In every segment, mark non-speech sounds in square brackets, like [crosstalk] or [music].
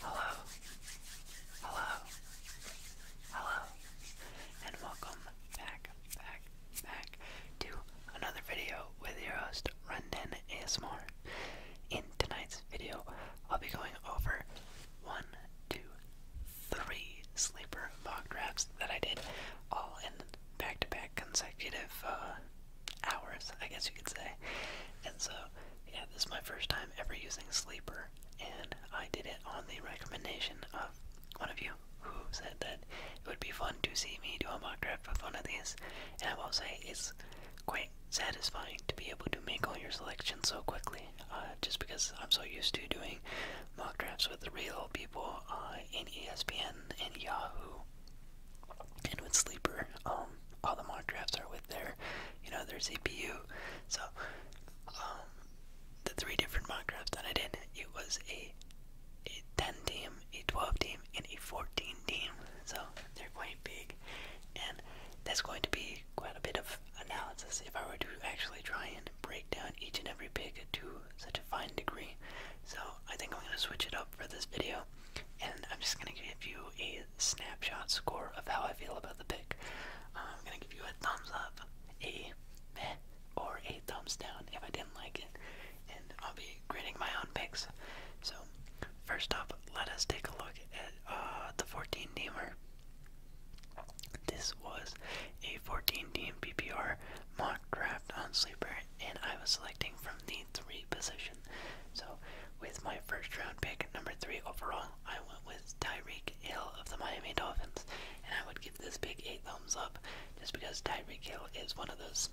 Hello, hello, hello, and welcome back, back, back to another video with your host, Runden ASMR. In tonight's video, I'll be going over one, two, three sleeper mock drafts that I did all in back-to-back consecutive uh, hours, I guess you could say. And so, yeah, this is my first time ever using Sleeper, and I did it on the recommendation of one of you who said that it would be fun to see me do a mock draft with one of these. And I will say, it's quite satisfying to be able to make all your selections so quickly, uh, just because I'm so used to doing mock drafts with real people uh, in ESPN and Yahoo and with Sleeper, um, all the mock drafts are with there, you know, their CPU. So, um, the three different mock drafts that I did, it was a, a 10 team, a 12 team, and a 14 team. So, they're quite big. And that's going to be quite a bit of analysis if I were to actually try and break down each and every pick to such a fine degree. So, I think I'm going to switch it up for this video, and I'm just gonna give you a snapshot score of how I feel about the pick. Uh, I'm gonna give you a thumbs up, a or a thumbs down if I didn't like it, and I'll be grading my own picks. So, first up, let us take a look at uh, the 14 teamer. This was a 14 team PPR mock draft on Sleeper, and I was selecting from the three positions. So, with my first round pick, number three overall, I went with Tyreek Hill of the Miami Dolphins, and I would give this pick eight thumbs up just because Tyreek Hill is one of those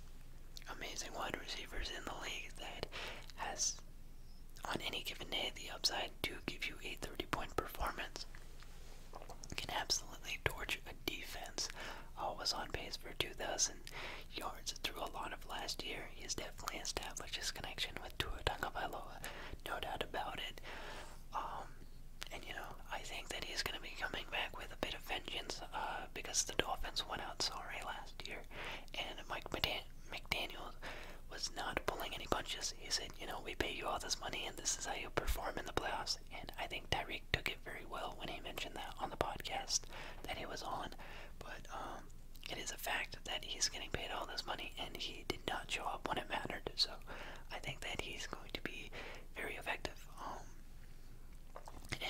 amazing wide receivers in the league that has, on any given day, the upside to give you a 30 point performance. Can absolutely torch a defense. Always on pace for 2,000 thousand yards through a lot of last year. He has definitely established his connection with Tua Tagovailoa, no doubt about it. Um, and you know, I think that he's going to be coming back with a bit of vengeance uh, because the Dolphins went out sorry last year, and Mike McDaniel was not pulling any punches. He said, you know, we pay you all this money, and this is how you perform in the playoffs. And I think Tyreek took it very well when he mentioned that on the podcast that he was on. But um, it is a fact that he's getting paid all this money and he did not show up when it mattered. So I think that he's going to be very effective um,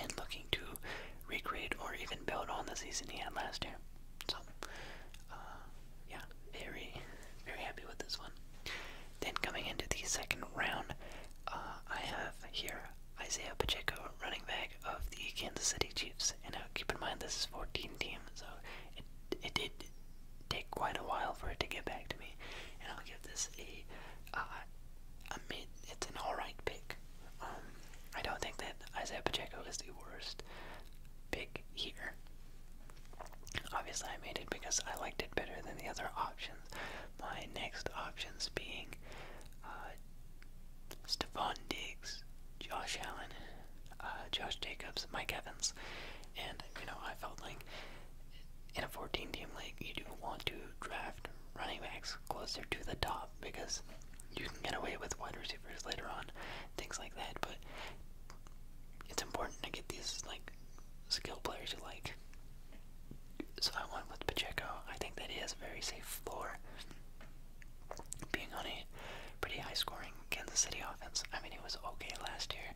and looking to recreate or even build on the season he had last year. So, uh, yeah, very, very happy with this one. Then coming into the second round, uh, I have here Isaiah Pacheco, running back of the Kansas City Chiefs. And now uh, keep in mind this is 14 teams, so it it did take quite a while for it to get back to me. And I'll give this a uh, a mid. It's an all right pick. Um, I don't think that Isaiah Pacheco is the worst pick here. Obviously, I made it because I liked it better than the other options. My next options being uh, Stephon Diggs, Josh Allen, uh, Josh Jacobs, Mike Evans, and you know I felt like in a 14-team league you do want to draft running backs closer to the top because you can get away with wide receivers later on, things like that. But it's important to get these like skill players you like. So I went with Pacheco. I think that he has a very safe floor being on a pretty high-scoring Kansas City offense. I mean, it was okay last year,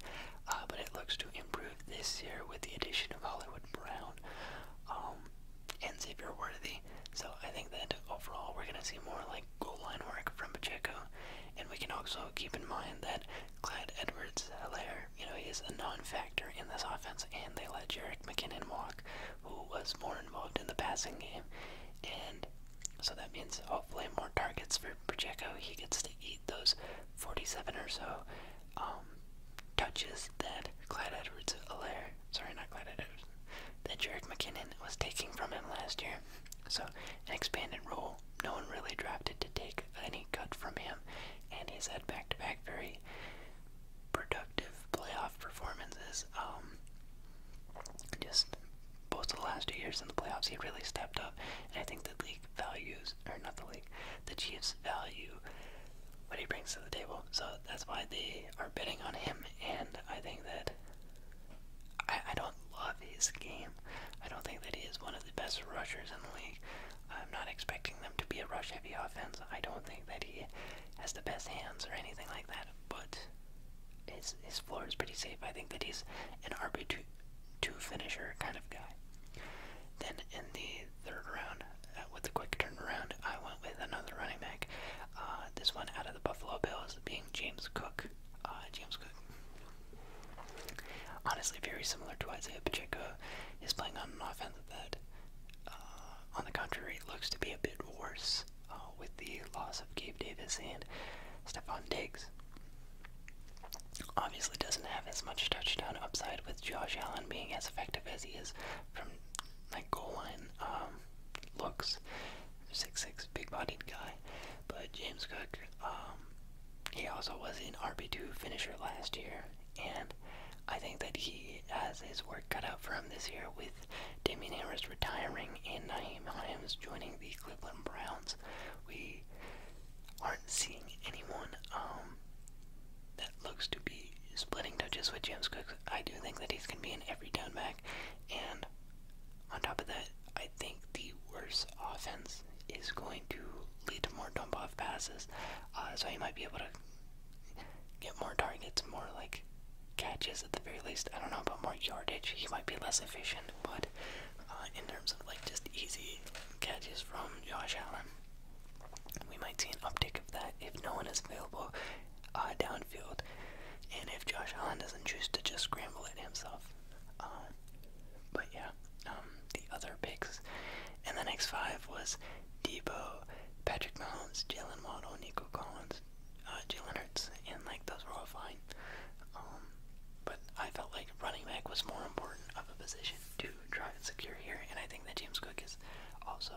uh, but it looks to improve this year with the addition of Hollywood Brown um, and Xavier Worthy. So I think that overall we're going to see more like goal line work from Pacheco, and we can also keep in mind that Clyde Edwards-Helaire, you know, is a non-factor in this offense, and they let Jarek McKinnon walk, who was more involved in the passing game. And so that means hopefully more targets for Pacheco. He gets to eat those 47 or so um, touches that Clyde Edwards Alaire, sorry, not Clyde Edwards, that Jarek McKinnon was taking from him last year. So, an expanded role. No one really drafted to take any cut from him, and he's had back to back very productive playoff performances. Um, just both of the last two years in the playoffs, he really stepped up, and I think the league values, or not the league, the Chiefs value what he brings to the table. So that's why they are betting on him, and I think that I, I don't love his game. I don't think that he is one of the best rushers in the league. I'm not expecting them to be a rush-heavy offense. I don't think that he has the best hands or anything like that, but his, his floor is pretty safe. I think that he's an RB2 finisher kind of guy. Then in the third round, uh, with a quick turnaround, I went with another running back. Uh, this one out of the Buffalo Bills being James Cook. Uh, James Cook, honestly, very similar to Isaiah Pacheco, is playing on an offense that, on the contrary, looks to be a bit worse. Uh, with the loss of Gabe Davis and Stephon Diggs. Obviously, doesn't have as much touchdown upside with Josh Allen being as effective as he is from like goal line um, looks. Six six, big-bodied guy, but James Cook. Um, he also was an RB2 finisher last year, and I think that he has his work cut out for him this year with Damien Harris retiring and Naheem Himes joining the Cleveland Browns. We aren't seeing anyone um, that looks to be splitting touches with James Cook. I do think that he's going to be in every downback, And on top of that, I think the worse offense is going to lead to more dump off passes. Uh, so he might be able to get more targets, more like catches at the very least. I don't know about more yardage. He might be less efficient, but uh, in terms of like just easy catches from Josh Allen, we might see an uptick of that if no one is available uh, downfield, and if Josh Allen doesn't choose to just scramble it himself. Uh, but yeah, um, the other picks, and the next five was Debo, Patrick Mahomes, Jalen Waddle, Nico Collins, uh, Jalen Hurts, and like those were all fine. Um, but I felt like running back was more important of a position to try and secure here, and I think that James Cook is also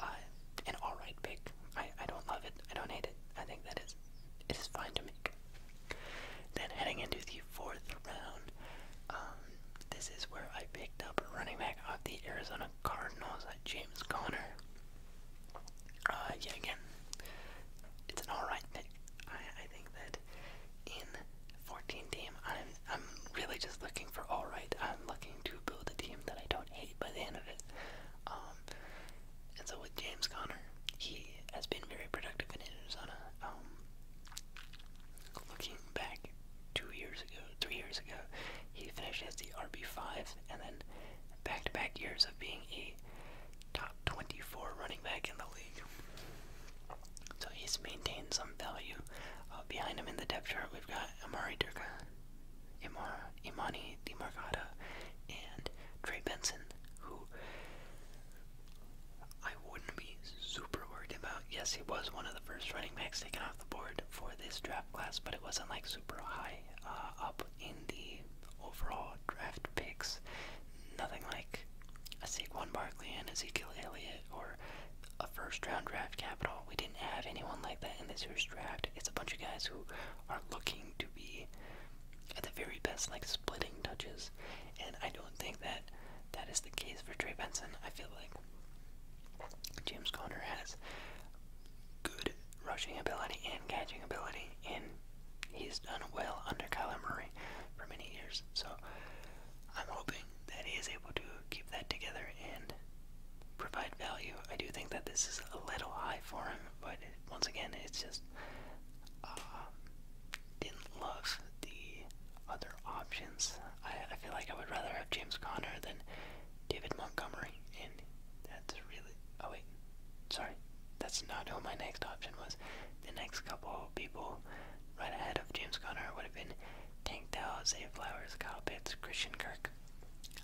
uh, an alright pick. I, I don't love it, I don't hate it. I think that is it is fine to make. Then heading into the fourth round, um, this is where I picked up a running back off the Arizona Cardinals at James Conner. Uh, yeah, again, it's an alright pick. I, I think that in 14 team, I'm, I'm really just looking for alright. I'm looking to build a team that I don't hate by the end of it. Um, and so with James Conner, he has been very productive in Arizona. Um, looking back two years ago, three years ago, he finished as the RB5, and then back to back years of being a top 24 running back in the league. So he's maintained some value. Uh, behind him in the depth chart, we've got Amari Durka, Imar, Imani DiMarcata, and Trey Benson, who I wouldn't be super worried about. Yes, he was one of the first running backs taken off the board for this draft class, but it wasn't like super high uh, up in the overall draft picks. Nothing like a Saquon Barkley and Ezekiel Elliott or a first round draft capital. We didn't have anyone like that in this first draft. It's a bunch of guys who are looking to be at the very best, like splitting touches. And I don't think that that is the case for Trey Benson. I feel like James Conner has good rushing ability and catching ability, and he's done well under Kyler Murray for many years. So I'm hoping that he is able to keep that together and provide value. I do think that this is a little high for him, but once again, it's just um, didn't love the other options. I, I feel like I would rather have James Conner than David Montgomery, and that's really. Oh, wait. Sorry. That's not who my next option was. The next couple people right ahead of James Conner would have been Tank Dell, Zay Flowers, Kyle Pitts, Christian Kirk.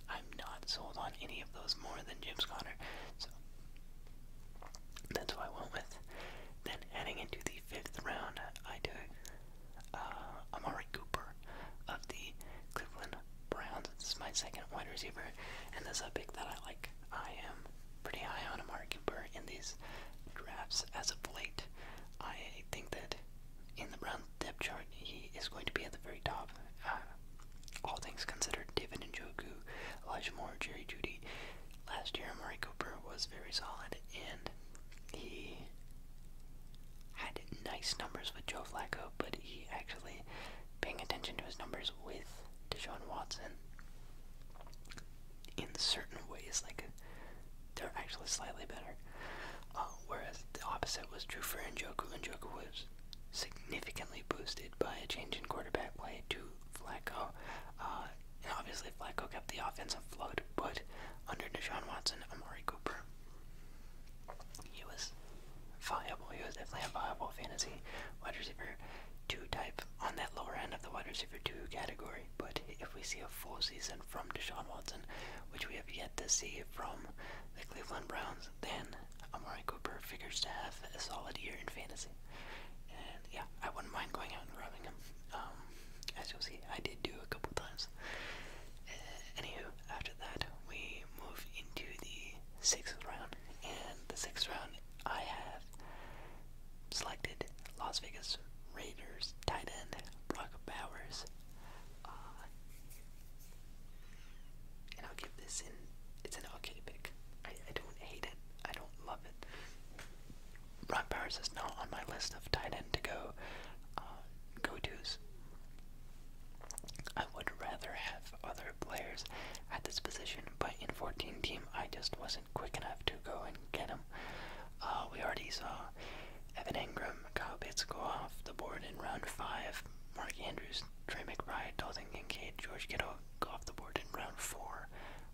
I'm not sold on any of those more than James Conner, so that's what I went with. Then heading into the fifth round, I took uh, Amari Cooper of the Cleveland Brown is my second wide receiver, and this is a pick that I like. I am pretty high on Amari Cooper in these drafts as of late. I think that in the Browns depth chart, he is going to be at the very top. Uh, all things considered, David and Njoku, Elijah Moore, Jerry Judy. Last year, Amari Cooper was very solid, and he had nice numbers with Joe Flacco, but he actually paying attention to his numbers with Deshaun Watson in certain ways, like they're actually slightly better. Uh, whereas the opposite was true for Joe Njoku. Njoku was significantly boosted by a change in quarterback play to Flacco. Uh, and obviously, Flacco kept the offense flood. but under Deshaun Watson, Amari Cooper he was viable. He was definitely a viable fantasy wide receiver two type on that lower end of the wide receiver two category. But if we see a full season from Deshaun Watson, which we have yet to see from the Cleveland Browns, then Amari Cooper figures to have a solid year in fantasy. And yeah, I wouldn't mind going out and grabbing him. Um, as you'll see, I did do a couple times. Uh, anywho, after that, we move into the sixth round. And the sixth round, I have selected Las Vegas Raiders tight end Brock Bowers. Uh, and I'll give this in. It's an okay pick. I, don't hate it. I don't love it. Brock Bowers is not on my list of tight end to go uh, go tos. I would rather have other players at this position, but in 14 team, I just wasn't quick enough to go and get them. Uh, we already saw Evan Ingram, Kyle go off the board in round 5, Mark Andrews, Trey McBride, Dalton Kincaid, George Kittle go off the board in round 4,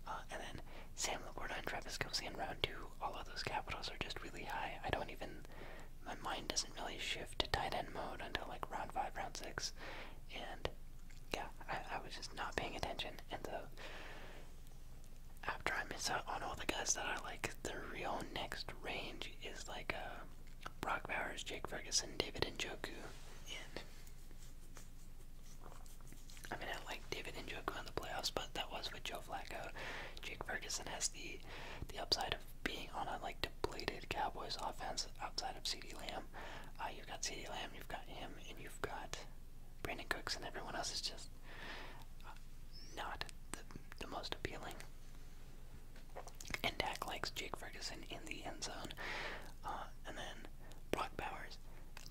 uh, and then Sam Laporta and Travis Kelsey in round 2. All of those capitals are just really high. I don't even my mind doesn't really shift to tight end mode until like round five, round six, and yeah, I, was just not paying attention, and so after I miss out on all the guys that I like, the real next range is like uh, Brock Bowers, Jake Ferguson, David Njoku, and I mean I like David Njoku in the playoffs, but that was with Joe Flacco. Jake Ferguson has the the upside of being on a like depleted Cowboys offense outside of CD Lamb. Uh, you've got CD Lamb, you've got him, and you've got Brandon Cooks, and everyone else is just uh, not the, the most appealing. And Dak likes Jake Ferguson in the end zone. Uh, and then Brock Bowers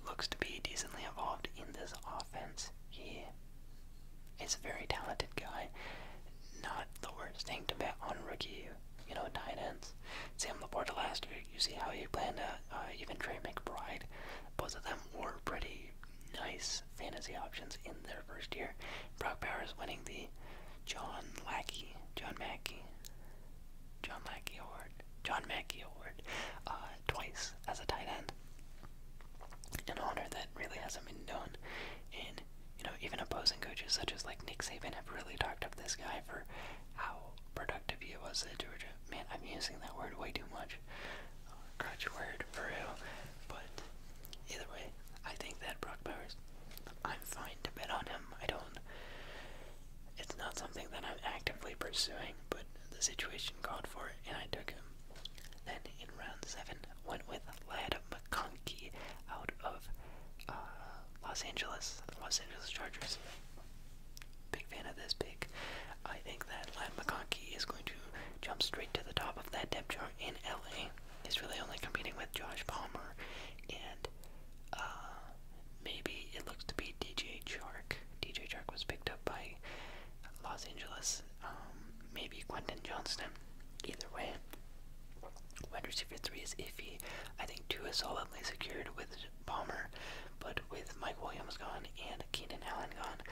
looks to be decently involved in this offense. He is a very talented guy. Not the worst thing to bet on rookie, you know, tight ends. Sam Laporta last year, you see how he planned to, uh, even Trey McBride. Both of them were pretty nice fantasy options in their first year. Brock Bowers winning the John Lackey, John Mackey, John Lackey Award, John Mackey Award, uh, twice as a tight end. An honor that really hasn't been done in you know even opposing coaches such as like Nick Saban have really talked up this guy for how productive he was at Georgia. Man, I'm using that word way too much. Uh, crutch word for you, But either way, I think that Brock Bowers. I'm fine to bet on him. I don't. It's not something that I'm actively pursuing, but the situation called for it, and I took him. Then in round seven, went with Lad McConkey out of uh, Los Angeles, Los Angeles Chargers. Big fan of this pick. I think that Lad McConkey is going to jump straight to the top of that depth chart in LA. He's really only competing with Josh Palmer and uh, maybe it looks to be DJ Chark. DJ Chark was picked up by Los Angeles. Um, maybe Quentin Johnston. Either way, wide receiver three is iffy. I think two is solidly secured with Palmer, but with Mike Williams gone and Keenan Allen gone,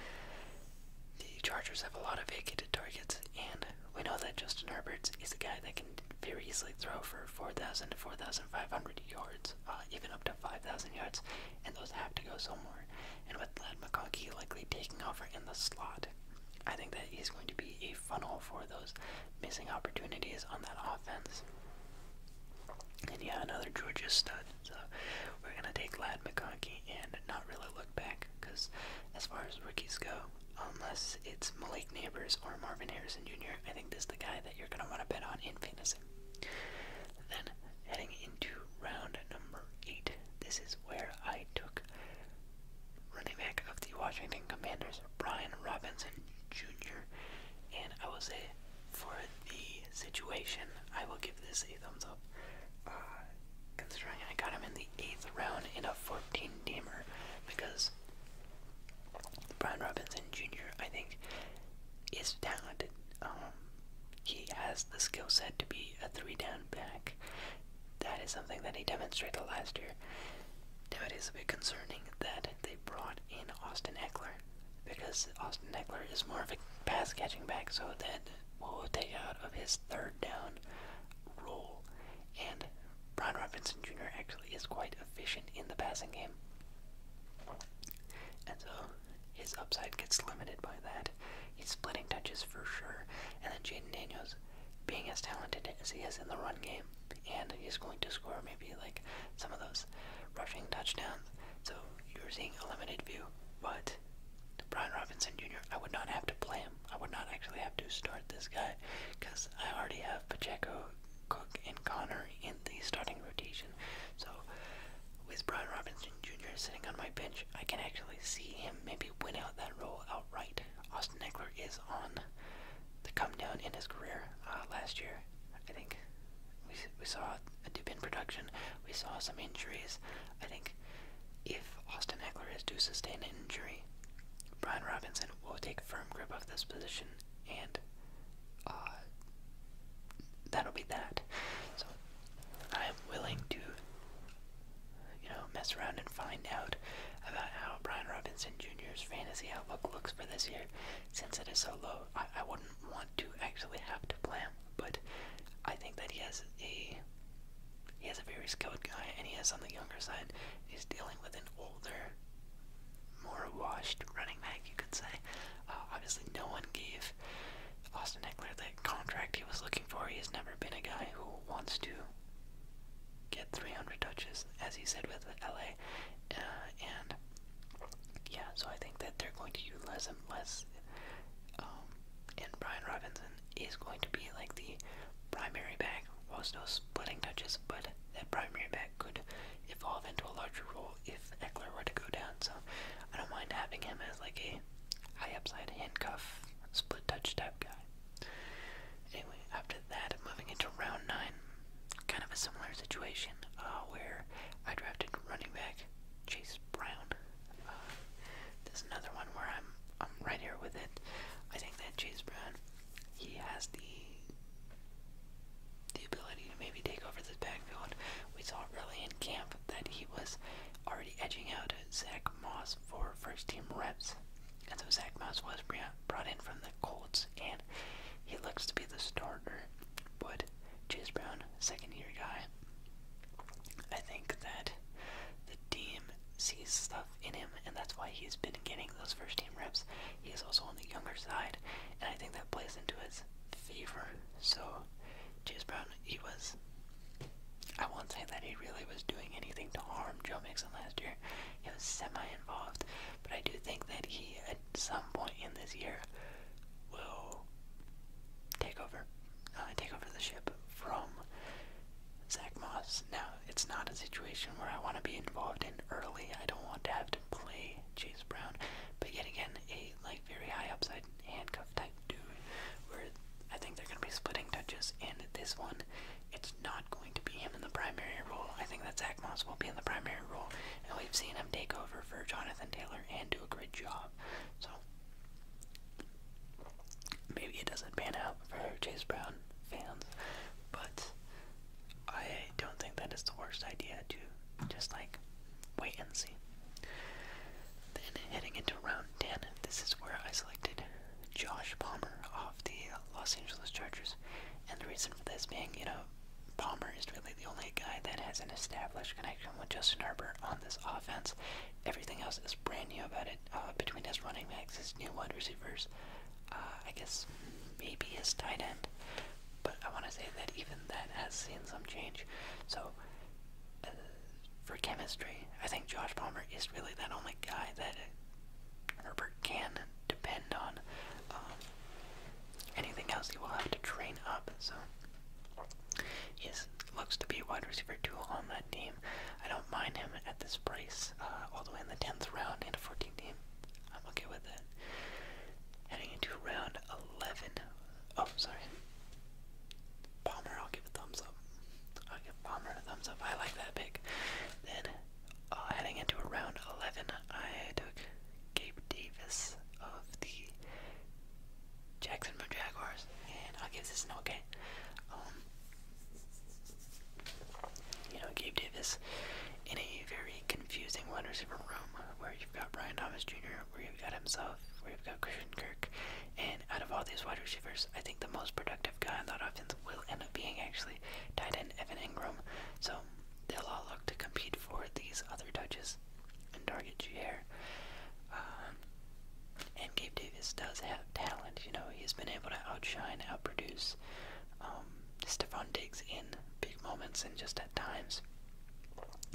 the Chargers have a lot of vacated targets, and we know that Justin Herbert is a guy that can very easily throw for 4,000 to 4,500 yards, uh, even up to 5,000 yards, and those have to go somewhere. And with Lad McConkey likely taking over in the slot, I think that he's going to be a funnel for those missing opportunities on that offense. And yeah, another Georgia stud. So we're going to take Lad McConkey and not really look back because as far as rookies go, unless it's Malik Neighbors or Marvin Harrison Jr., I think this is the guy that you're going to want to bet on in fantasy. Then heading into round number eight, this is where I took running back of the Washington Commanders, Brian Robinson Jr. And I will say, for the situation, I will give this a thumbs up. Uh, considering I got him in the 8th round in a 14 teamer, because Brian Robinson Jr., I think, is talented. Um, he has the skill set to be a three down back, that is something that he demonstrated last year. Now it is a bit concerning that they brought in Austin Eckler because Austin Eckler is more of a pass catching back, so then that will take out of his third down role. And Brian Robinson Jr. actually is quite efficient in the passing game. And so his upside gets limited by that. He's splitting touches for sure. And then Jaden Daniels being as talented as he is in the run game, and he's going to score maybe like some of those rushing touchdowns. So you're seeing a limited view, but Brian Robinson Jr. I would not have to play him. I would not actually have to start this guy because I already have Pacheco, Cook, and Connor in the starting rotation. So with Brian Robinson Jr. sitting on my bench, I can actually see him maybe win out that role outright. Austin Eckler is on the come down in his career. Uh, last year, I think we we saw a dip in production. We saw some injuries. I think if Austin Eckler is to sustain an injury, Brian Robinson will take firm grip of this position, and uh, that'll be that. So I am willing to you know, mess around and find out about how Brian Robinson Jr.'s fantasy outlook looks for this year, since it is so low. I, I wouldn't want to actually have to play him, but I think that he has a he has a very skilled guy, and he has on the younger side. He's dealing with an older, more washed running back, you could say. Uh, obviously, no one gave Austin Eckler that contract he was looking for. He has never been a guy who wants to get 300 touches, as he said with LA. Uh, and yeah, so I think that they're going to utilize him less. Um, and Brian Robinson is going to be like the primary back, while still splitting touches, but that primary back could evolve into a larger role if Eckler were to go down. So I don't mind having him as like a high upside handcuff, split touch type guy. Anyway, after that, moving into round nine, kind of a similar situation uh, where I drafted running back Chase Brown. Uh, there's another one where I'm I'm right here with it. I think that Chase Brown, he has the the ability to maybe take over this backfield. We saw early in camp that he was already edging out Zach Moss for first team reps. And so Zach Moss was brought in from the Colts, and he looks to be the starter. But Chase Brown, second year guy, I think that the team sees stuff in him, and that's why he's been getting those first team reps. He's also on the younger side, and I think that plays into his favor. So, Chase Brown, he was I won't say that he really was doing anything to harm Joe Mixon last year. He was semi-involved, but I do think that he, at some point in this year, will take over, uh, take over the ship from Zach Moss. Now, it's not a situation where I want to be involved in early. I don't want to have to play Chase Brown, but yet again, a like very high upside handcuff type dude, where I think they're going to be splitting touches, and this one it's not going to be him in the primary role. I think that Zach Moss will be in the primary role, and we've seen him take over for Jonathan Taylor and do a great job. So maybe it doesn't pan out for Chase Brown fans, but I don't think that is the worst idea to just like wait and see. Then heading into round Dan, this is where I selected Josh Palmer off the Los Angeles Chargers. And the reason for this being, you know, Palmer is really the only guy that has an established connection with Justin Herbert on this offense. Everything else is brand new about it. Uh, between his running backs, his new wide receivers, uh, I guess maybe his tight end. But I want to say that even that has seen some change. So, uh, for chemistry, I think Josh Palmer is really that only guy that Herbert can depend on um, anything else he will have to train up. So he looks to be a wide receiver two on that team. I don't mind him at this price, uh, all the way in the tenth round and a 14 team. I'm okay with that. Heading into round 11. Oh, sorry. Palmer, I'll give a thumbs up. I'll give Palmer a thumbs up. I like that pick. Then, uh, heading into round 11, I took Gabe Davis of the Jacksonville Jaguars, and i give this no game. Um, you know, Gabe Davis in a very confusing wide receiver room where you've got Brian Thomas Jr., where you've got himself, where you've got Christian Kirk, and out of all these wide receivers, I think the most productive guy on that offense will end up being actually tight end Evan Ingram. So they'll all look to compete for these other touches and target Jair. Um, and Gabe Davis does have talent. You know, he's been able to outshine, outproduce um, Stephon Diggs in big moments and just at times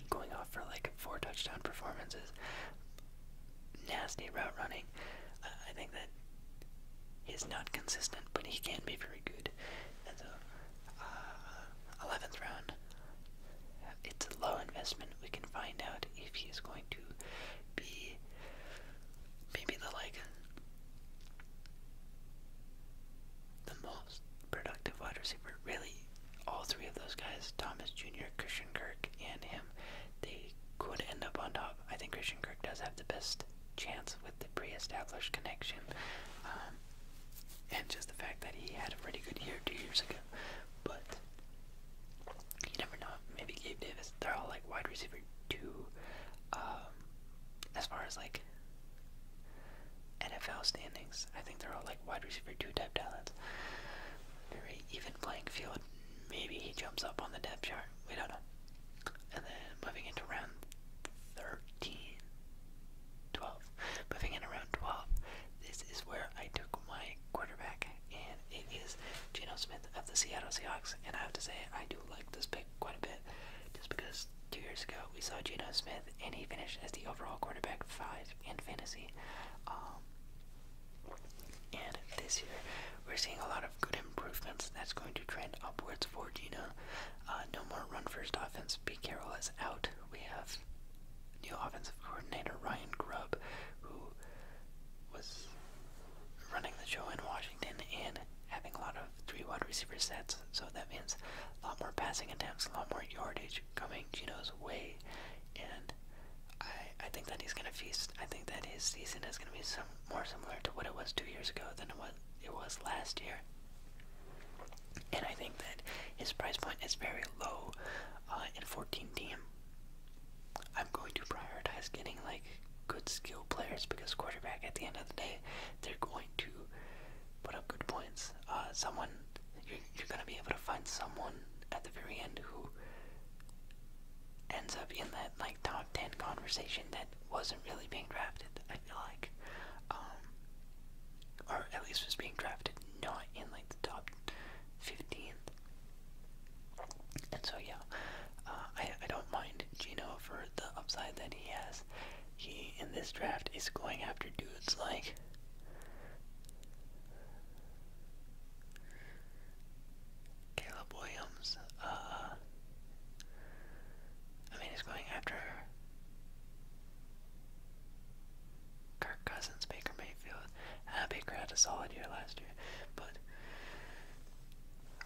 going off for like four touchdown performances nasty route running. I think that he's not consistent, but he can be very good. And so, 11th round, it's a low investment. We can find out if he's going to be maybe the like the most productive wide receiver. Really, all three of those guys, Thomas Jr., Christian Kirk, and him they could end up on top. I think Christian Kirk does have the best chance with the pre-established connection, um, and just the fact that he had a pretty good year two years ago. But you never know. Maybe Gabe Davis. They're all like wide receiver two, um, as far as like NFL standings. I think they're all like wide receiver two type talents. Very even playing field. Maybe he jumps up on the depth chart. We don't know. And then moving into round 13, Moving in around 12, this is where I took my quarterback, and it is Geno Smith of the Seattle Seahawks. And I have to say, I do like this pick quite a bit, just because two years ago we saw Geno Smith, and he finished as the overall quarterback five in fantasy. Um, and this year, we're seeing a lot of good improvements. That's going to trend upwards for Gino. Uh, no more run first offense. Pete Carroll is out. We have new offensive coordinator Ryan Grubb, who was running the show in Washington and having a lot of three wide receiver sets. So that means a lot more passing attempts, a lot more yardage coming Gino's way. And I I think that he's gonna feast. I think that his season is gonna be more similar to what it was two years ago than it was last year. And I think that his price point is very low uh, 14 team. I'm going to prioritize getting like good skill players because quarterback at the end of the day, they're going to put up good points. Uh, someone you're gonna be able to find someone at the very end who ends up in that like top ten conversation that wasn't really being drafted. I feel like, um, or at least was being drafted not in like the top fifteen. And so yeah, uh, I I don't mind Gino for the upside that he has. He in this draft is going after dudes like. Caleb Williams, uh, I mean, he's going after Kirk Cousins, Baker Mayfield. Uh, had a solid year last year, but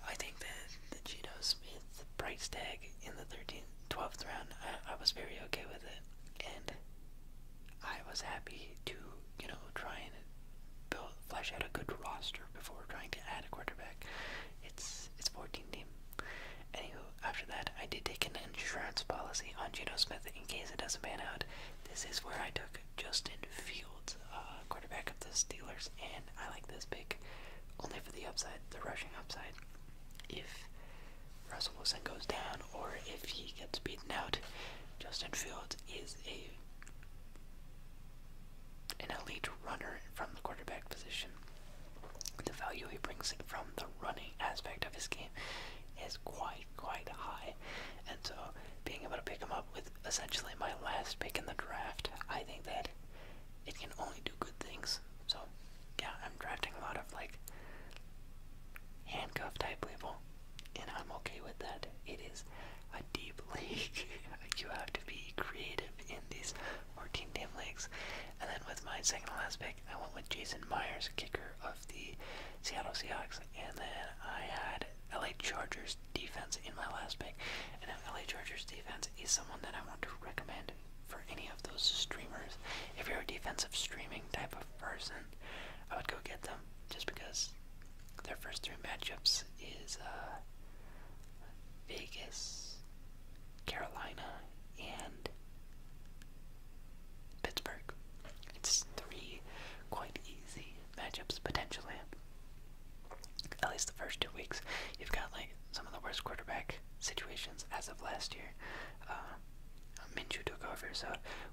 I think that the Geno Smith price tag in the 13th, 12th round, I was very okay with it, and I was happy to, you know, try and build, flesh out a good roster before trying to add a quarterback. It's it's 14 team. Anywho, after that, I did take an insurance policy on Geno Smith in case it doesn't pan out. This is where I took Justin Fields, uh, quarterback of the Steelers, and I like this pick only for the upside, the rushing upside. If Russell Wilson goes down or if he gets beaten out, Justin Fields is a an elite runner from the quarterback position. The value he brings from the running aspect of his game is quite, quite high. And so, being able to pick him up with essentially my last pick in the draft, I think that it can only do good things. So, yeah, I'm drafting a lot of like handcuff type level, and I'm okay with that. It is a deep league. [laughs] you have to be creative in these 14 team leagues. And then with my second last pick, I went with Jason Myers, kicker of the Seattle Seahawks. And then I had LA Chargers defense in my last pick. And LA Chargers defense is someone that I want to recommend for any of those streamers. If you're a defensive streaming type of person, I would go get them just because their first three matchups is uh, Vegas, Carolina, and Pittsburgh. It's three quite easy matchups potentially. At least the first two weeks, you've got like some of the worst quarterback situations as of last year. Uh, Minju took over, so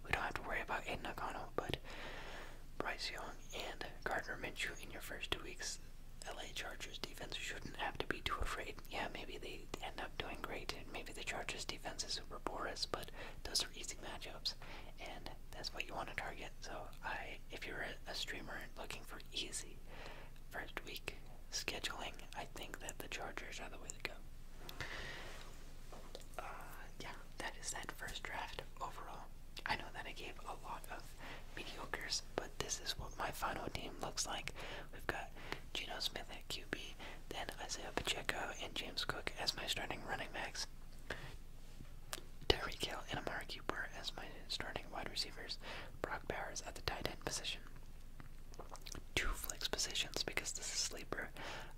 we don't have to worry about Aiden O'Connell now, but Bryce Young and Gardner Minshew in your first two weeks, LA Chargers defense shouldn't have to be too afraid. Yeah, maybe they end up doing great, and maybe the Chargers defense is super porous, but those are easy matchups, and that's what you want to target. So, I, if you're a, a streamer looking for easy first week scheduling, I think that the Chargers are the way to go. Uh, yeah, that is that first draft overall. I know that I gave a lot of of but this is what my final team looks like. We've got Geno Smith at QB, then Isaiah Pacheco and James Cook as my starting running backs, Tyreek Hill and Amari Cooper as my starting wide receivers, Brock Bowers at the tight end position. Two flex positions because this is sleeper,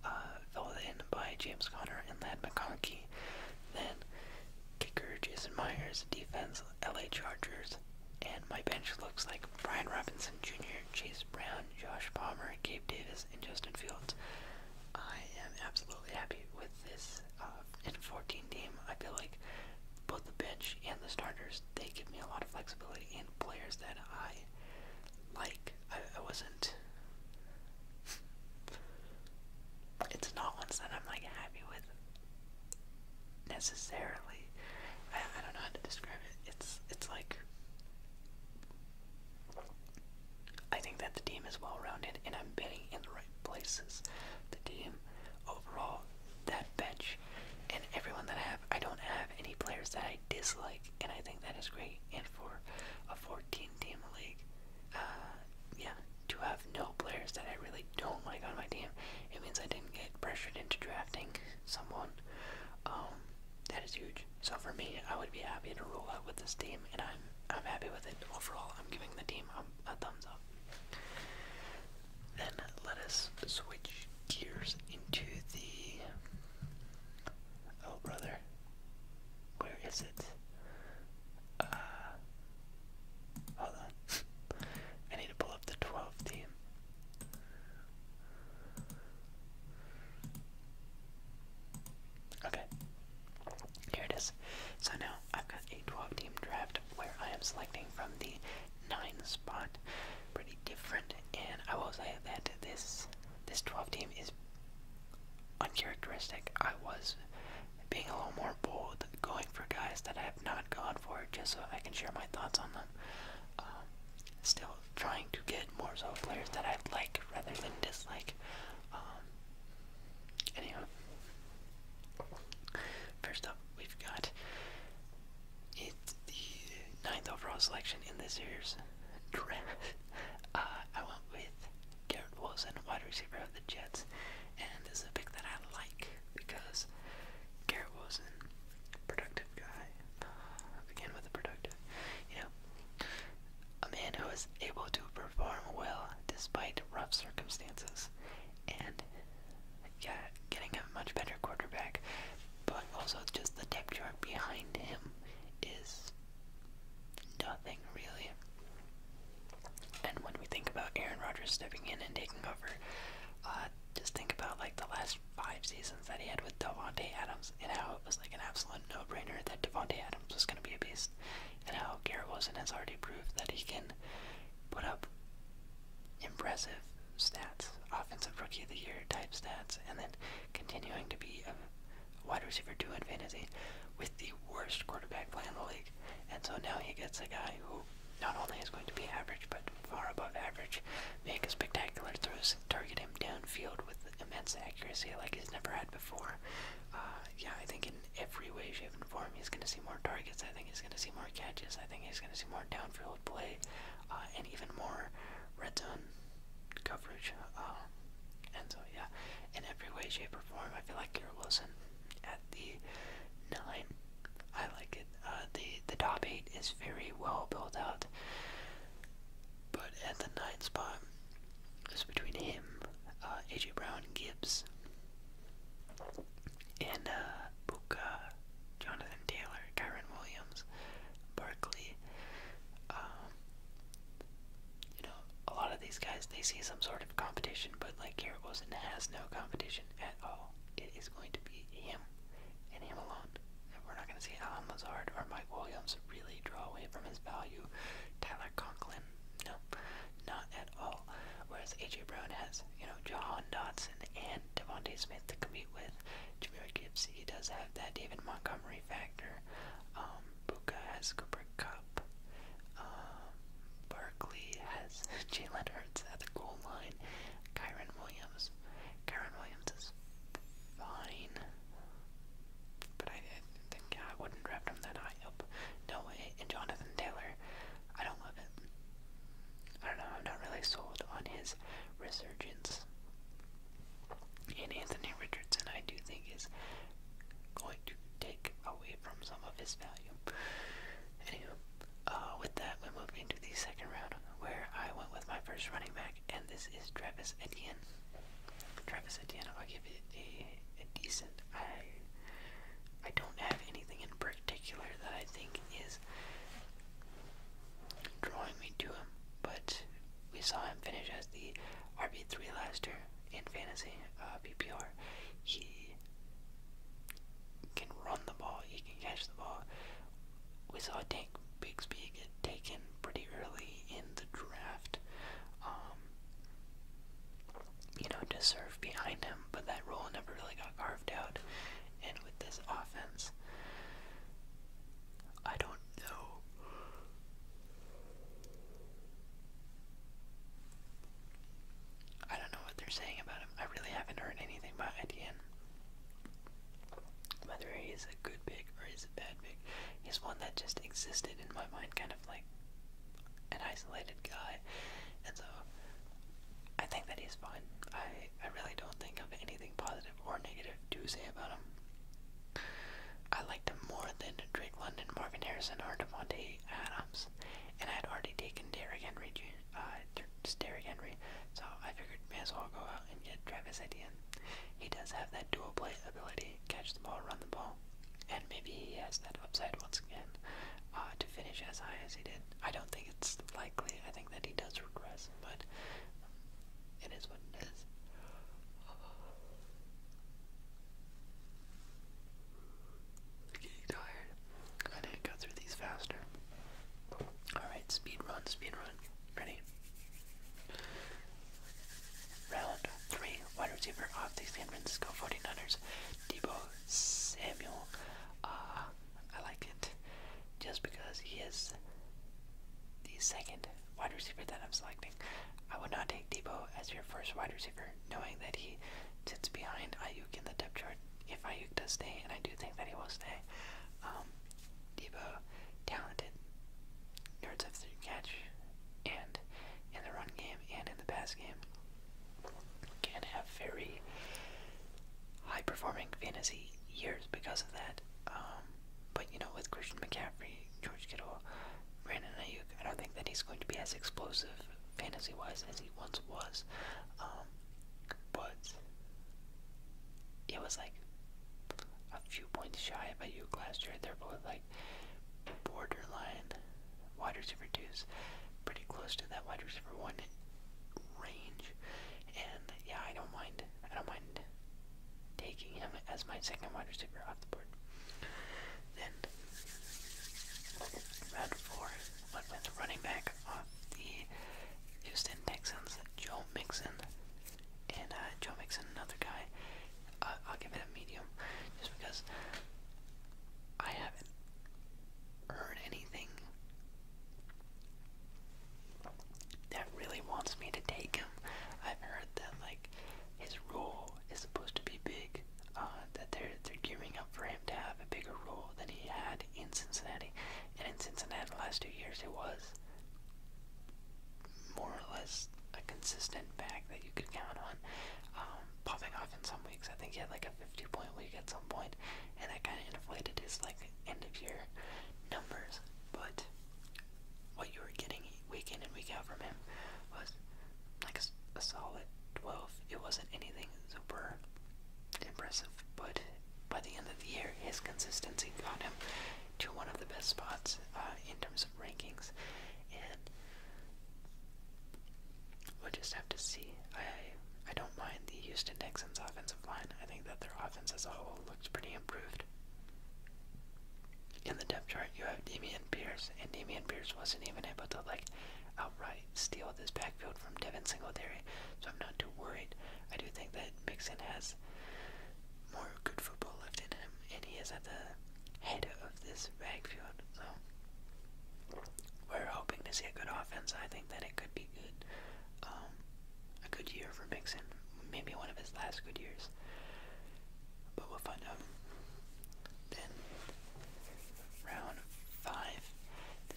uh, filled in by James Connor and Lad McConkey. Then Kicker Jason Myers, defense LA Chargers, and my bench looks like Brian Robinson Jr., Chase Brown, Josh Palmer, Gabe Davis, and Justin Fields. I am absolutely happy with this uh, in 14 team. I feel like both the bench and the starters they give me a lot of flexibility and players that I like. I, I wasn't it's not ones that I'm like happy with necessarily. I, I don't know how to describe it. It's it's like I think that the team is well rounded and I'm betting in the right places. The team overall, that bench, and everyone that I have, I don't have any players that I dislike, and I think that is great. And for a 14 team league, uh, yeah, to have no players that I really don't like on my team, it means I didn't get pressured into drafting someone. Um, that is huge. So for me, I would be happy to roll out with this team, and I'm I'm happy with it overall. I'm giving the team a, thumbs up. Then let us switch gears into the. Oh brother, where is uh, hold on. I need to pull up the 12 team. Okay. Here it is. So now I've got a 12 team draft where I am selecting from the 9 spot. Pretty different, and I will say that this this 12 team is uncharacteristic. I was being a little more bold, going for guys that I have not gone for, just so I can share my thoughts on them. Um, still trying to get more so players that I like rather than dislike. Um, anyway, first up, we've got it's the ninth overall selection in this year's draft. [laughs] Uh, I went with Garrett Wilson, wide receiver of the Jets. And this is a pick that I like because Garrett Wilson, productive guy, again with the productive, you know, a man who is able to perform well despite rough circumstances. And yeah, getting a much better quarterback, but also just the depth chart behind him is nothing really. And when we think about Aaron Rodgers stepping in and taking over, uh, just think about like the last five seasons that he had with Devonte Adams and how it was like an absolute no-brainer that Devonte Adams was going to be a beast, and how Garrett Wilson has already proved that he can put up impressive stats, offensive rookie of the year type stats, and then continuing to be a wide receiver two in fantasy with the worst quarterback play in the league league. And so now he gets a guy who not only is going to be average, but far above average, make spectacular throws, target him downfield with immense accuracy like he's never had before. Uh, yeah, I think in every way, shape, and form, he's going to see more targets. I think he's going to see more catches. I think he's going to see more downfield play, uh, and even more red zone coverage. Uh, and so, yeah, in every way, shape, or form, I feel like Garrett Wilson at the nine. I like it. Uh, the the top eight is very well built out, but at the nine spot is between him, uh, AJ Brown, Gibbs, and uh, Jonathan Taylor, Kyron Williams, Barkley. Um, you know, a lot of these guys they see some sort of competition, but like Garrett Wilson has no competition at all. It is going to be him and him alone. And we're not going to see Alan Lazard or Mike Williams really draw away from his value. Tyler Conklin, no, not at all. Whereas AJ Brown has, you know, Jahan Dotson and Devontae Smith to compete with. Jameer Gibbs, he does have that David Montgomery factor. Um, Buka has Cooper Cup. Um, Barkley has [laughs] Jalen Hurts at the goal line. Kyron Williams. Kyron Williams is fine. But I, I think yeah, I wouldn't draft him that high up. No way. And Jonathan Taylor. I don't love him. I don't know, I'm not really sold on his resurgence. And Anthony Richardson I do think is going to take away from some of his value. Anywho, uh, with that, we moved into the second round where I went with my first running back, and this is Travis Etienne. Travis Etienne, I'll give it a, a decent. I I don't have anything in particular that I think is drawing me to him, but we saw him finish as the RB3 last year in fantasy uh, PPR, he can run the ball, he can catch the ball. We saw Tank Bigsby get taken pretty early in the draft. Um, you know, to serve behind him, but that role never really got carved out. And with this offense, I don't know. I don't know what they're saying about him. I really haven't heard anything about Etienne. Whether he's a good pick or he's a bad pick, he's one that just existed in my mind, kind of like an isolated guy. And so I think that he's fine. I, I really don't think of anything positive or negative to say about him. I liked him more than Drake London, Marvin Harrison, or Devontae Adams. Thomas, and I had already taken Derrick Henry, uh, Derrick Henry, so I figured may as well go out and get Travis Etienne. He does have that dual play ability, catch the ball, run the ball, and maybe he has that upside once again uh, to finish as high as he did. I don't think it's likely. I think that he does regress, but it is what it is getting tired. I need to go through these faster. Alright, speed run, speed run. Ready? Round 3, wide receiver of the San Francisco 49ers, Debo Samuel. Uh, I like it just because he is the second wide receiver that I'm selecting. I would not take Debo as your first wide receiver knowing that he sits behind Ayuk in the depth chart. If Ayuk does stay, and I do think that he will stay, um, Debo, talented, yards after catch, and in the run game and in the pass game, can have very high-performing fantasy years because of that. Um, but you know, with Christian McCaffrey, George Kittle, Brandon Ayuk, I don't think that he's going to be as explosive fantasy wise as he once was. Um, but it was like a few points shy of a Uke last year. They're both like borderline wide receiver twos, pretty close to that wide receiver one range. And yeah, I don't mind. I don't mind taking him as my second wide receiver off the board. Then round four went with the running back of the Houston Texans, Joe Mixon. And uh, Joe Mixon, another guy, uh, I'll give it a medium just because I haven't heard anything that really wants me to take him. I've heard that, like, his role is supposed to be big uh, that they're they're gearing up for him to have a bigger role than he had in Cincinnati. And in Cincinnati, the last two years, it was more or less a consistent back that you could count on, um, popping off in some weeks. I think he had like a 50 point week at some point, and that kind of inflated his like end of year numbers. But what you were getting week in and week out from him was like a, solid 12. It wasn't anything super impressive, but by the end of the year, his consistency got him to one of the best spots uh, in terms of rankings, and we'll just have to see. I I don't mind the Houston Texans offensive line. I think that their offense as a whole looks pretty improved. In the depth chart, you have Damian Damian Pierce, and Damian Pierce wasn't even able to like outright steal this backfield from Devin Singletary, so I'm not too worried. I do think that Mixon has more good football left in him, and he is at the head of this backfield, so we're hoping to see a good offense. I think that it could be good, um, a good year for Mixon, maybe one of his last good years. But we'll find out. Then round five,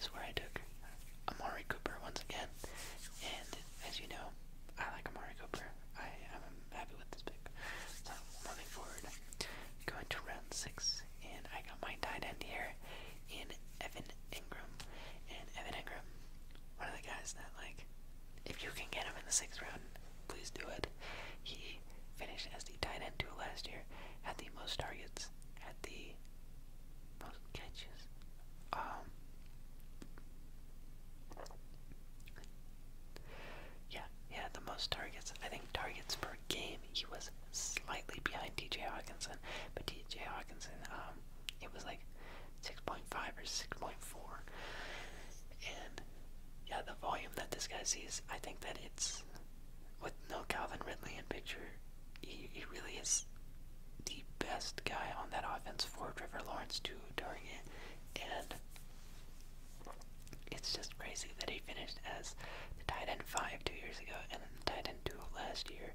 is where I took Amari Cooper once again. And as you know, I like Amari Cooper. I am happy with this pick. So moving forward, going to round six, and I got my tie end here in Evan Ingram. And Evan Ingram, one of the guys that like, if you can get him in the sixth round, please do it. He finished as the tight end two last year, had the most targets, had the most catches. Um, yeah, he the most targets. I think targets per game. He was slightly behind DJ. Hawkinson, but DJ. Hawkinson, um, it was like 6.5 or 6.4, and yeah, the volume that this guy sees, I think that it's with no Calvin Ridley in picture, he, he really is the best guy on that offense for Trevor Lawrence too during it, and it's just crazy that he finished as the tight end five two years ago and then the tight end two last year,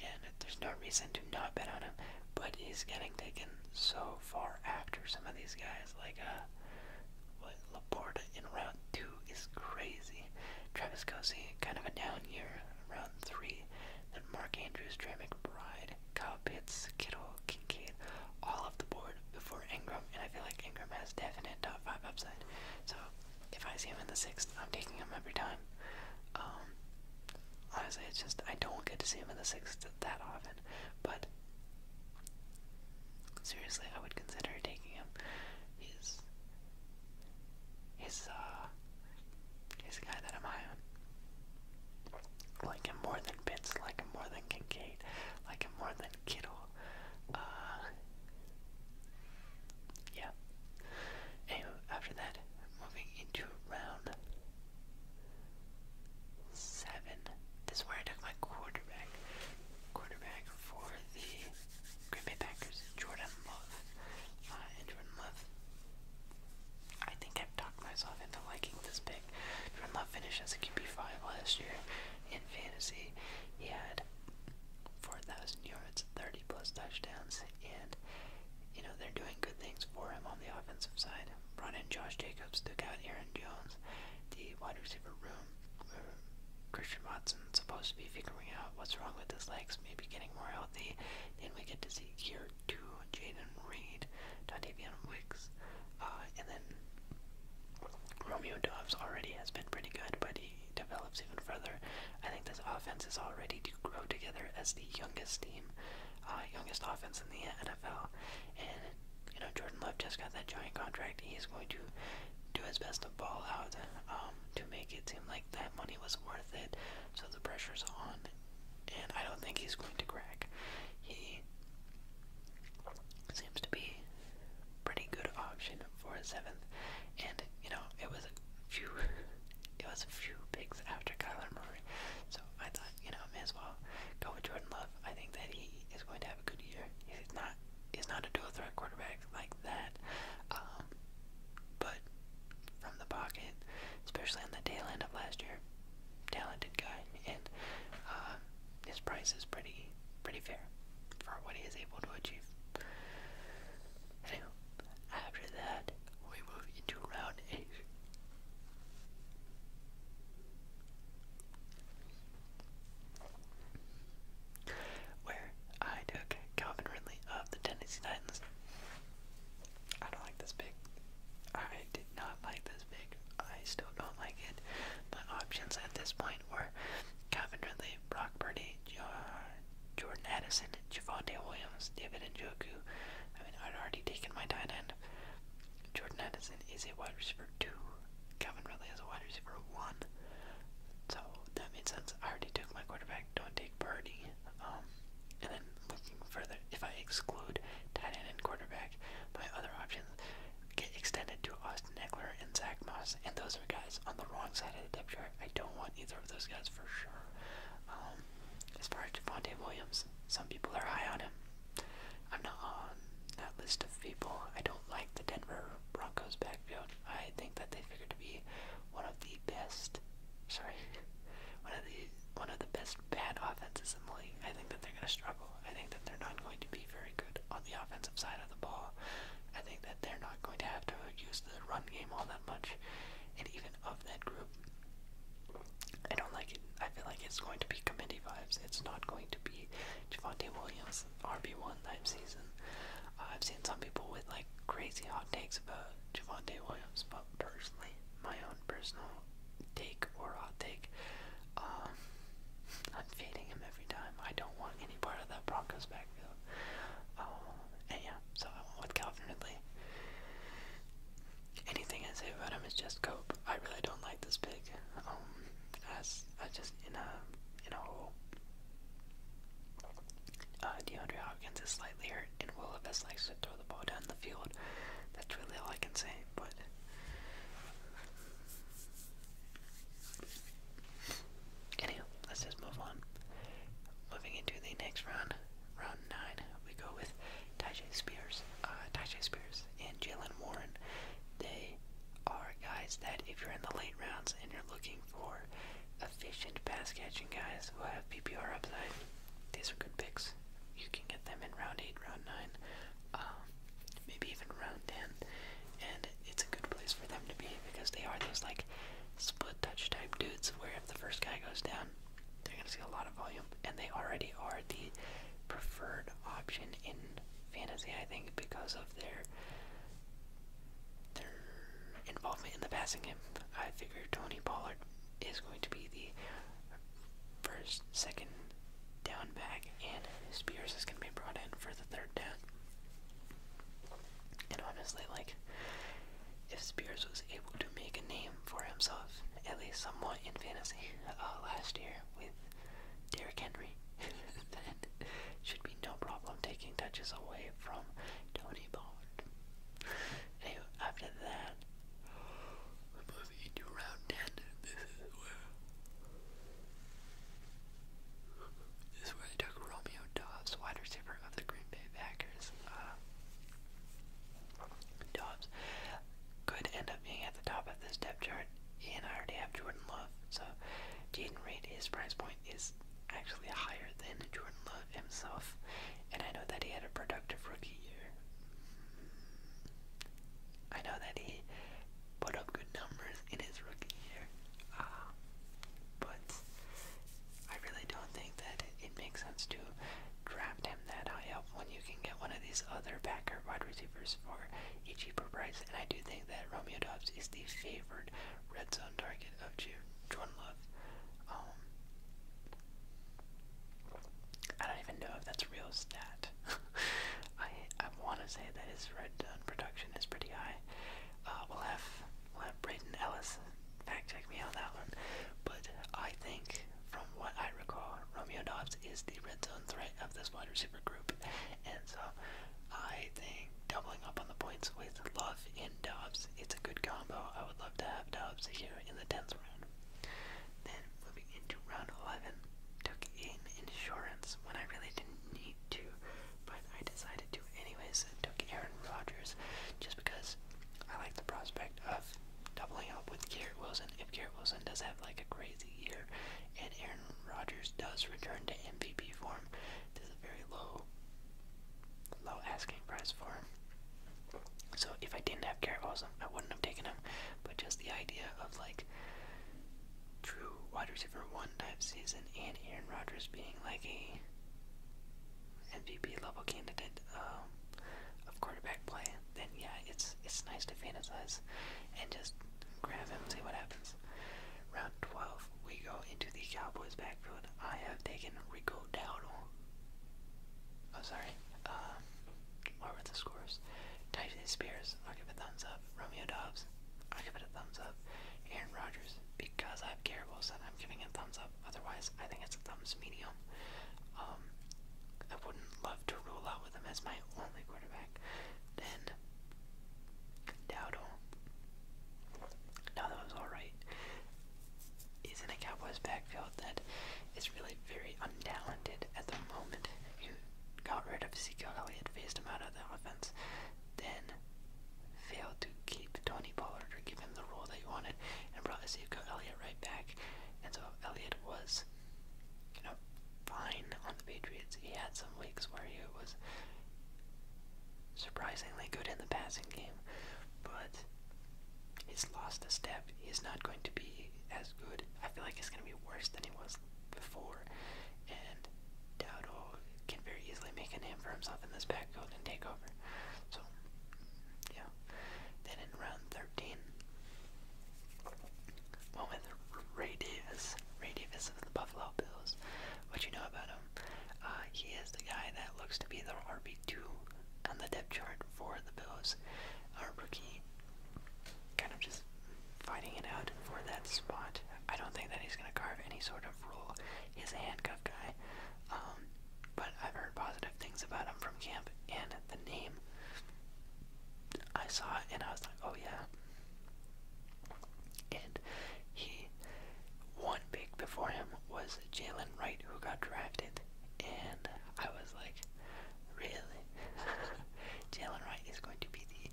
and there's no reason to not bet on him, but he's getting taken so far after some of these guys like uh, what Laporta in round two is crazy. Travis Kelsey, kind of a down year, around three. Then Mark Andrews, Trey McBride, Kyle Pitts, Kittle, Kincaid, all off the board before Ingram, and I feel like Ingram has definite top five upside. So if I see him in the sixth, I'm taking him every time. Um, honestly, it's just I don't get to see him in the sixth that often, but Seriously, I would consider taking him. He's he's uh he's a guy that I'm Like him more than Pitts, like him more than Kincaid, like him more than Kittle. Uh yeah. Anyway, after that, moving into round seven. This is where I took my quarterback quarterback for the Green Bay Packers, Jordan Love. Uh, Jordan Love, I think I've talked myself into liking this pick. Jordan Love finished as a QB5 last year in fantasy. He had 4,000 yards, 30 plus touchdowns, and you know, they're doing good things for him on the offensive side. Brought in Josh Jacobs, took out Aaron Jones. The wide receiver room Christian Watson's supposed to be figuring out what's wrong with his legs, maybe getting more healthy. Then we get to see here two, Jaden Reed, Dontavian Wicks, uh, and then Romeo Dobbs already has been pretty good, but he develops even further. I think this offense is all ready to grow together as the youngest team, uh, youngest offense in the NFL. And you know, Jordan Love just got that giant contract. He is going to do his best the ball out um, to make it seem like that money was worth it. So the pressure's on, and I don't think he's going to crack. He seems to be a pretty good option for a seventh, and you know it was a few, [laughs] it was a few picks after Kyler Murray. So I thought you know may as well go with Jordan Love. I think that he is going to have a good year. He's not He's not a dual threat quarterback like that. Um, but from the pocket, especially on the tail end of last year, talented guy, and uh, his price is pretty pretty fair for what he is able to achieve. Anyway, after that, we move into round eight. Where I took Calvin Ridley of the Tennessee Titans. I don't like this pick. I did not like this pick. I still don't like it. My options at this point were Calvin Ridley, Brock Purdy, Jordan Addison, Javante Williams, David and Njoku. I mean, I'd already taken my tight end. Jordan Addison is a wide receiver too. Calvin Ridley is a wide receiver one. So that made sense. I already took my quarterback, don't take Birdie. Um, and then looking further, if I exclude tight end and quarterback, my other options get extended to Austin Eckler and Zach Moss, and those are guys on the wrong side of the depth chart. I don't want either of those guys for sure. Um, as far as Javante Williams, some people are high on him. I'm not on that list of people. I don't like the Denver Broncos back I think that they figure to be one of the best, sorry, [laughs] one of the one of the best bad offenses I think that they're going to struggle. I think that they're not going to be very good on the offensive side of the ball. I think that they're not going to have to use the run game all that much. And even of that group, I don't like it. I feel like it's going to be committee vibes. It's not going to be Javante Williams RB1 type season. Uh, I've seen some people with like crazy hot takes about Javante Williams, but personally, my own personal take or hot take, um, [laughs] I'm fading him every time. I don't want any part of that Broncos backfield. Um, and yeah, so I went with Calvin Ridley. Anything I say about him is just cope. I really don't like this pick. Um, as I just in a in a hole. Uh, DeAndre Hopkins is slightly hurt, and Will Levis likes to throw the ball down the field. That's really all I can say, but. Anyhow, let's just move on. Moving into the next round, round 9, we go with Tajay Spears. Uh, Tajay Spears and Jalen Warren. They are guys that if you're in the late rounds and you're looking for efficient pass catching guys who have PPR upside, these are good picks. You can get them in round 8, round 9, um, maybe even round 10. And it's a good place for them to be because they are those like split touch type dudes where if the first guy goes down, they're going to see a lot of volume. And they already are the preferred option in fantasy, I think, because of their their involvement in the passing game. I figure Tony Pollard is going to be the first, second down back, and Spears is going to be brought in for the third down. And honestly, like, if Spears was able to make a name for himself, at least somewhat in fantasy, uh, last year with Derrick Henry, [laughs] then should be no problem taking touches away from Tony Bond. Anyway, after that, moving into round This is where. This is where I took Romeo Dobbs, wide receiver of the Green Bay Packers. Uh, Dobbs could end up being at the top of this depth chart and I already have Jordan Love, so Jaden Reed, his price point is actually higher than Jordan Love himself, and I know that he had a productive rookie year. I know that he put up good numbers in his rookie year, uh, but I really don't think that it, makes sense to draft him that high up when you can get one of these other Packer wide receivers for a cheaper price. And I do think that Romeo Dobbs is the favorite red zone target of Jordan Love. Um, I don't even know if that's a real stat. [laughs] I I want to say that his red zone production is pretty high. Uh, we'll have we'll have Braden Ellis fact check me on that one, but I think from what I recall, Romeo Dobbs is the red zone threat of this wide receiver group, and so I think doubling up on the points with Love in Dubs, it's a good combo. I would love to have Dubs here in the 10th round. Then moving into round 11, took in insurance when I really didn't need to, but I decided to anyways and took Aaron Rodgers just because I like the prospect of doubling up with Garrett Wilson. If Garrett Wilson does have like a crazy year and Aaron Rodgers does return to MVP form, this is a very low, low asking price for him. So if I didn't have Garrett Wilson, I wouldn't have taken him. But just the idea of like true wide receiver one type season and Aaron Rodgers being like a MVP level candidate um, of quarterback play, then yeah, it's it's nice to fantasize and just grab him, see what happens. Dallas. Round 12, we go into the Cowboys backfield. I have taken Rico Dowdle. Oh, sorry. Um, what were the scores? Tyson Spears, I'll give it a thumbs up. Romeo Dobbs, I'll give it a thumbs up. Aaron Rodgers, because I have Garrett Wilson, I'm giving it a thumbs up. Otherwise, I think it's a thumbs medium. Um, I wouldn't love to rule out with him as my only quarterback. Then Dowdle. Now that was alright. Is in a Cowboys backfield that is really very untalented at the moment. You got rid of Ezekiel Elliott, phased him out of the offense, then failed to keep Tony Pollard or give him the role that you wanted, and brought Ezekiel Elliott right back. And so Elliott was, you know, fine on the Patriots. He had some weeks where he was surprisingly good in the passing game, but he's lost a step. He's not going to be as good. I feel like he's going to be worse than he was before, and Dowdle can very easily make a name for himself in this backfield and take over. So, yeah. Then in round 13, went with Ray Davis. Ray of the Buffalo Bills. What you know about him? Uh, he is the guy that looks to be the RB2 on the depth chart for the Bills. Our rookie kind of just fighting it out for that spot. I don't think that he's going to carve any sort of role. He's a handcuff guy. Um, but I've heard positive things about him from camp and the name. I saw it and I was like, oh yeah. And he, one pick before him was Jalen Wright, who got drafted. And I was like, really? [laughs] Jalen Wright is going to be the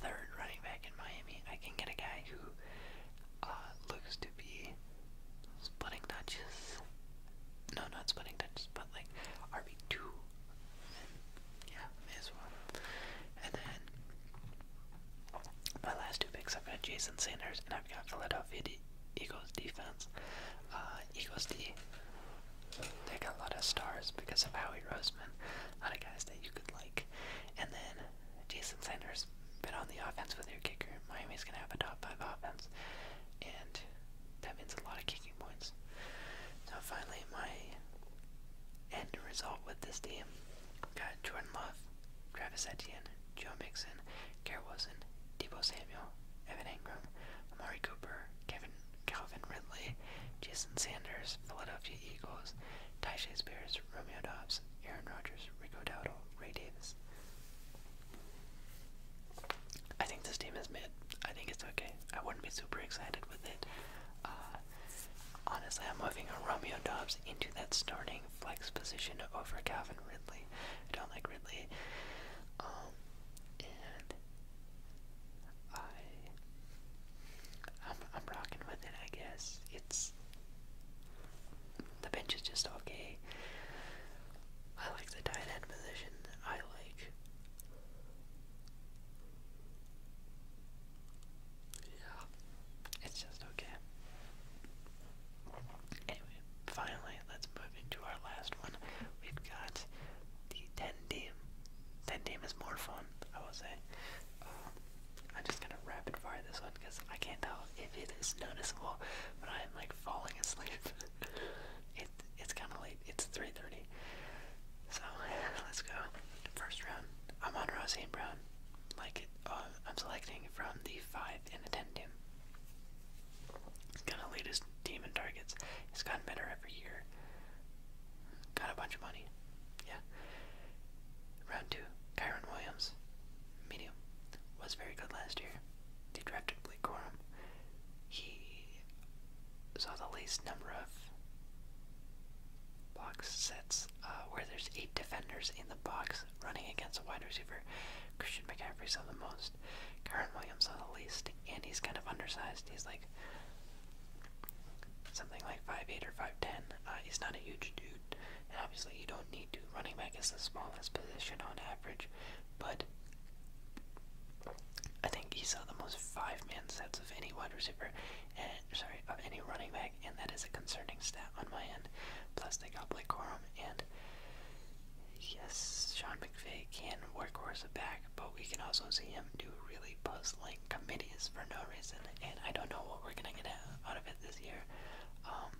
third running back in Miami. I can get a guy who uh, looks to be splitting touches. No, not splitting touches, but like RB2 yeah, as well. And then my last two picks, I've got Jason Sanders and I've got Philadelphia Eagles defense. Uh, Eagles D, they got a lot of stars because of Howie Roseman, a lot of guys that you could like. And then Jason Sanders been on the offense with their kicker. Miami's gonna have a top five offense, and that means a lot of kicking points. So finally, my end result with this team got Jordan Love, Travis Etienne, Joe Mixon, Garrett Wilson, Debo Samuel, Evan Ingram, Amari Cooper, Kevin Calvin Ridley, Jason Sanders, Philadelphia Eagles, Tyshae Spears, Romeo Dobbs, Aaron Rodgers, Rico Dowdle, Ray Davis. I think this team is mid. I think it's okay. I wouldn't be super excited with it. Uh, Honestly, I'm moving a Romeo Dobbs into that starting flex position over Calvin Ridley. I don't like Ridley. Um, and I, am I'm rocking with it, I guess. It's, the bench is just okay. I like the tight end position. I like, yeah, it's just okay. Anyway, finally, let's move into our last one. We've got the 10 team. 10 team is more fun, I will say. Um, I'm just gonna rapid fire this one because I can't tell if it is noticeable, but I am like falling asleep. [laughs] it, it's kind of late, it's 3.30. So, [laughs] let's go. First round, I'm Amon Ross Brown like uh, I'm selecting from the five and the ten team. latest team in targets. It's gotten better every year. Got a bunch of money. Yeah. Round two, Kyron Williams, medium, was very good last year. They drafted Blake Corum. He saw the least number of box sets uh, where there's eight defenders in the box running against a wide receiver. Christian McCaffrey's on the most, Kyron Williams on the least, and he's kind of undersized. He's like something like five eight or 5'10. Uh, he's not a huge dude, obviously you don't need to. Running back is the smallest position on average, but I think he saw the most five man sets of any wide receiver, sorry, of any running back, and that is a concerning stat on my end. Plus, they got Blake Corum, and yes, Sean McVay can workhorse a back, but we can also see him do really puzzling committees for no reason, and I don't know what we're gonna get out of it this year. Um,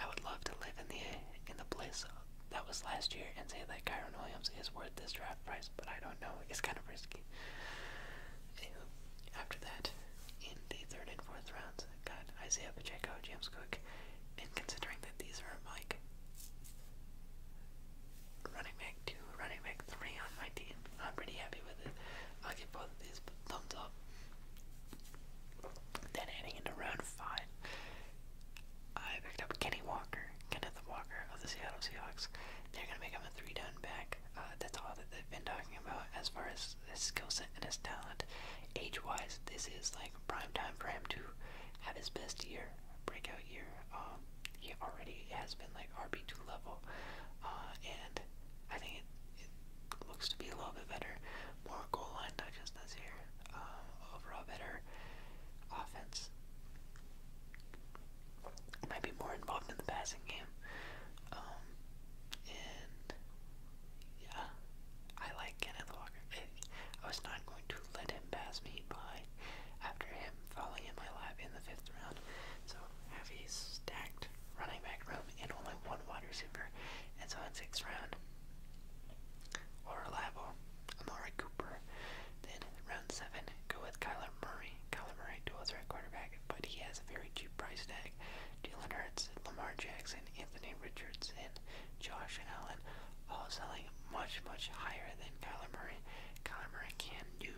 I would love to live in the in the place that was last year and say that Kyron Williams is worth this draft price, but I don't know. It's kind of risky. After that, in the third and fourth rounds, i got Isaiah Pacheco, James Cook, and considering that these are like running back two, running back three on my team, I'm pretty happy with it. I'll give both of these thumbs up. Then heading into round five, I picked up Kenny Walker, Kenneth Walker of the Seattle Seahawks. They're gonna make him a three down back. Uh, that's all that they've been talking about as far as his skill set and his talent. Age wise, this is like prime time for him to have his best year, breakout year. Um, he already has been like RB2 level, uh, and I think it, looks to be a little bit better. More goal line touches this year, uh, overall better offense might be more involved in the passing game. Um, and yeah, I like Kenneth Walker. I was not going to let him pass me by after him falling in my lap in the fifth round. So heavy stacked running back room and only one wide receiver. And so in sixth round, or reliable, Amari Cooper. Then round seven, go with Kyler Murray. Kyler Murray dual threat quarterback tag, but he has a very cheap price tag. Jalen Hurts, Lamar Jackson, Anthony Richardson, Josh Allen, all selling much, much higher than Kyler Murray. Kyler Murray can do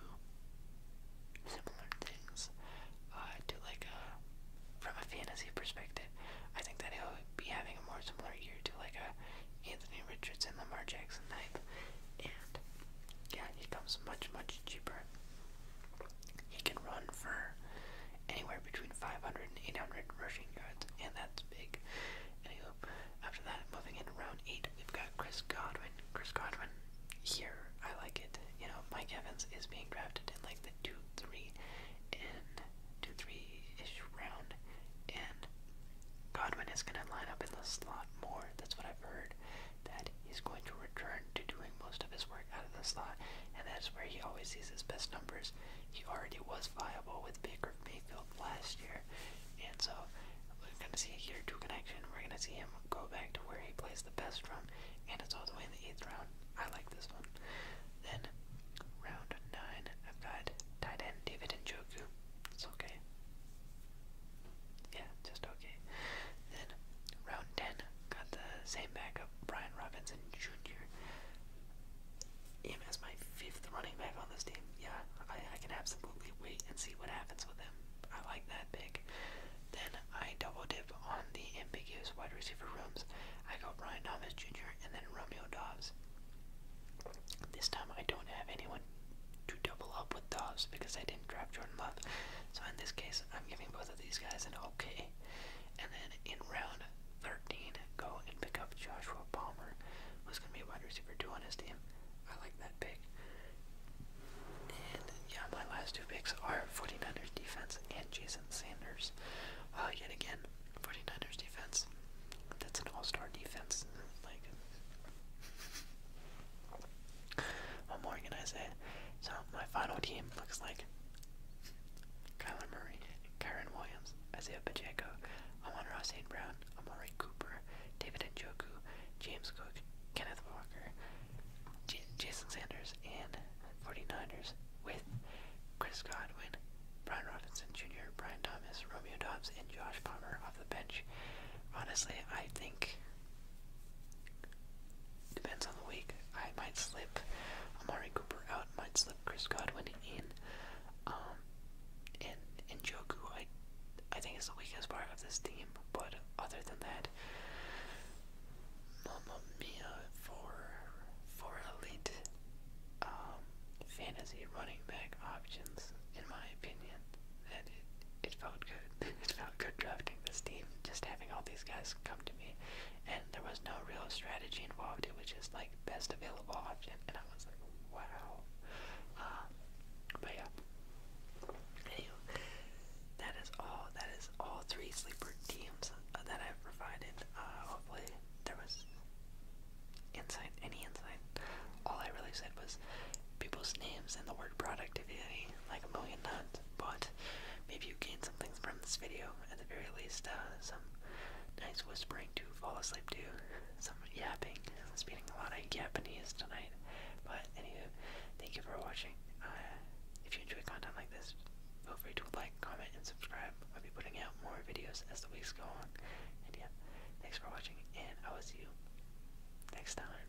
similar things uh, to like a, uh, from a fantasy perspective. I think that he'll be having a more similar year to like a uh, Anthony Richardson, Lamar Jackson type. And yeah, he comes much, much much cheaper. He can run for anywhere between 500 and 800 rushing yards, and that's big. Anywho, after that, moving into round 8, we've got Chris Godwin. Chris Godwin, here, I like it. You know, Mike Evans is being drafted in like the 2 3 and 2 3 ish round, and Godwin is going to line up in the slot more. That's what I've heard that he's going to return to doing most of his work out of the slot, and that's where he always sees his best numbers. He already was viable with Baker Mayfield last year, and so we're going to see a year two connection. We're going to see him go back to where he plays the best from, and it's all the way in the eighth round. I like this one. Then, round nine, I've got tight end David Njoku. It's okay. Yeah, just okay. Then round 10 got the same back of Brian Robinson Jr. Him as my fifth running back on this team. Yeah, I, I can absolutely wait and see what happens with him. I like that pick. Then I double dip on the ambiguous wide receiver rooms. I go Brian Thomas Jr. and then Romeo Dobbs. This time I don't have anyone to double up with Dobbs because I didn't draft Jordan Love. So in this case, I'm giving both of these guys an okay. And then in round 13, go and pick up Joshua Palmer, who's going to be a wide receiver two on his team. I like that pick. And yeah, my last two picks are Forty ers defense and Jason Sanders. Uh, yet again, Forty ers defense. That's an all-star defense. Like, more, can I say? So my final team looks like Kyler Murray, Kyron Williams, Isaiah Pacheco, Amon Ross and Brown, Amari Cooper, David Njoku, James Cook, Kenneth Walker, Jason Sanders, and 49ers with Chris Godwin, Brian Robinson Jr., Brian Thomas, Romeo Dobbs, and Josh Palmer off the bench. Honestly, I think Depends on the week. I might slip Amari Cooper out, might slip Chris Godwin in. Um, and and Joku, I I think is the weakest part of this team. But other than that, Mamma Mia for for elite um, fantasy running back options, in my opinion, that it, it felt good. [laughs] it felt good drafting this team, just having all these guys come to me, and there was no real strategy involved. It was just like best available option, and I was like, wow. Um, but yeah. Anyway, that is all. That is all three sleeper teams uh, that I've provided. Uh, hopefully, there was insight. Any insight? All I really said was people's names and the word product. If you like a million times, but maybe you gained something from this video. At the very least, uh, some nice whispering to fall asleep to, some yapping. speaking a lot of Japanese tonight, but anyway, thank you for watching. Uh, if you enjoy content like this, feel free to like, comment, and subscribe. I'll be putting out more videos as the weeks go on. And yeah, thanks for watching, and I will see you next time.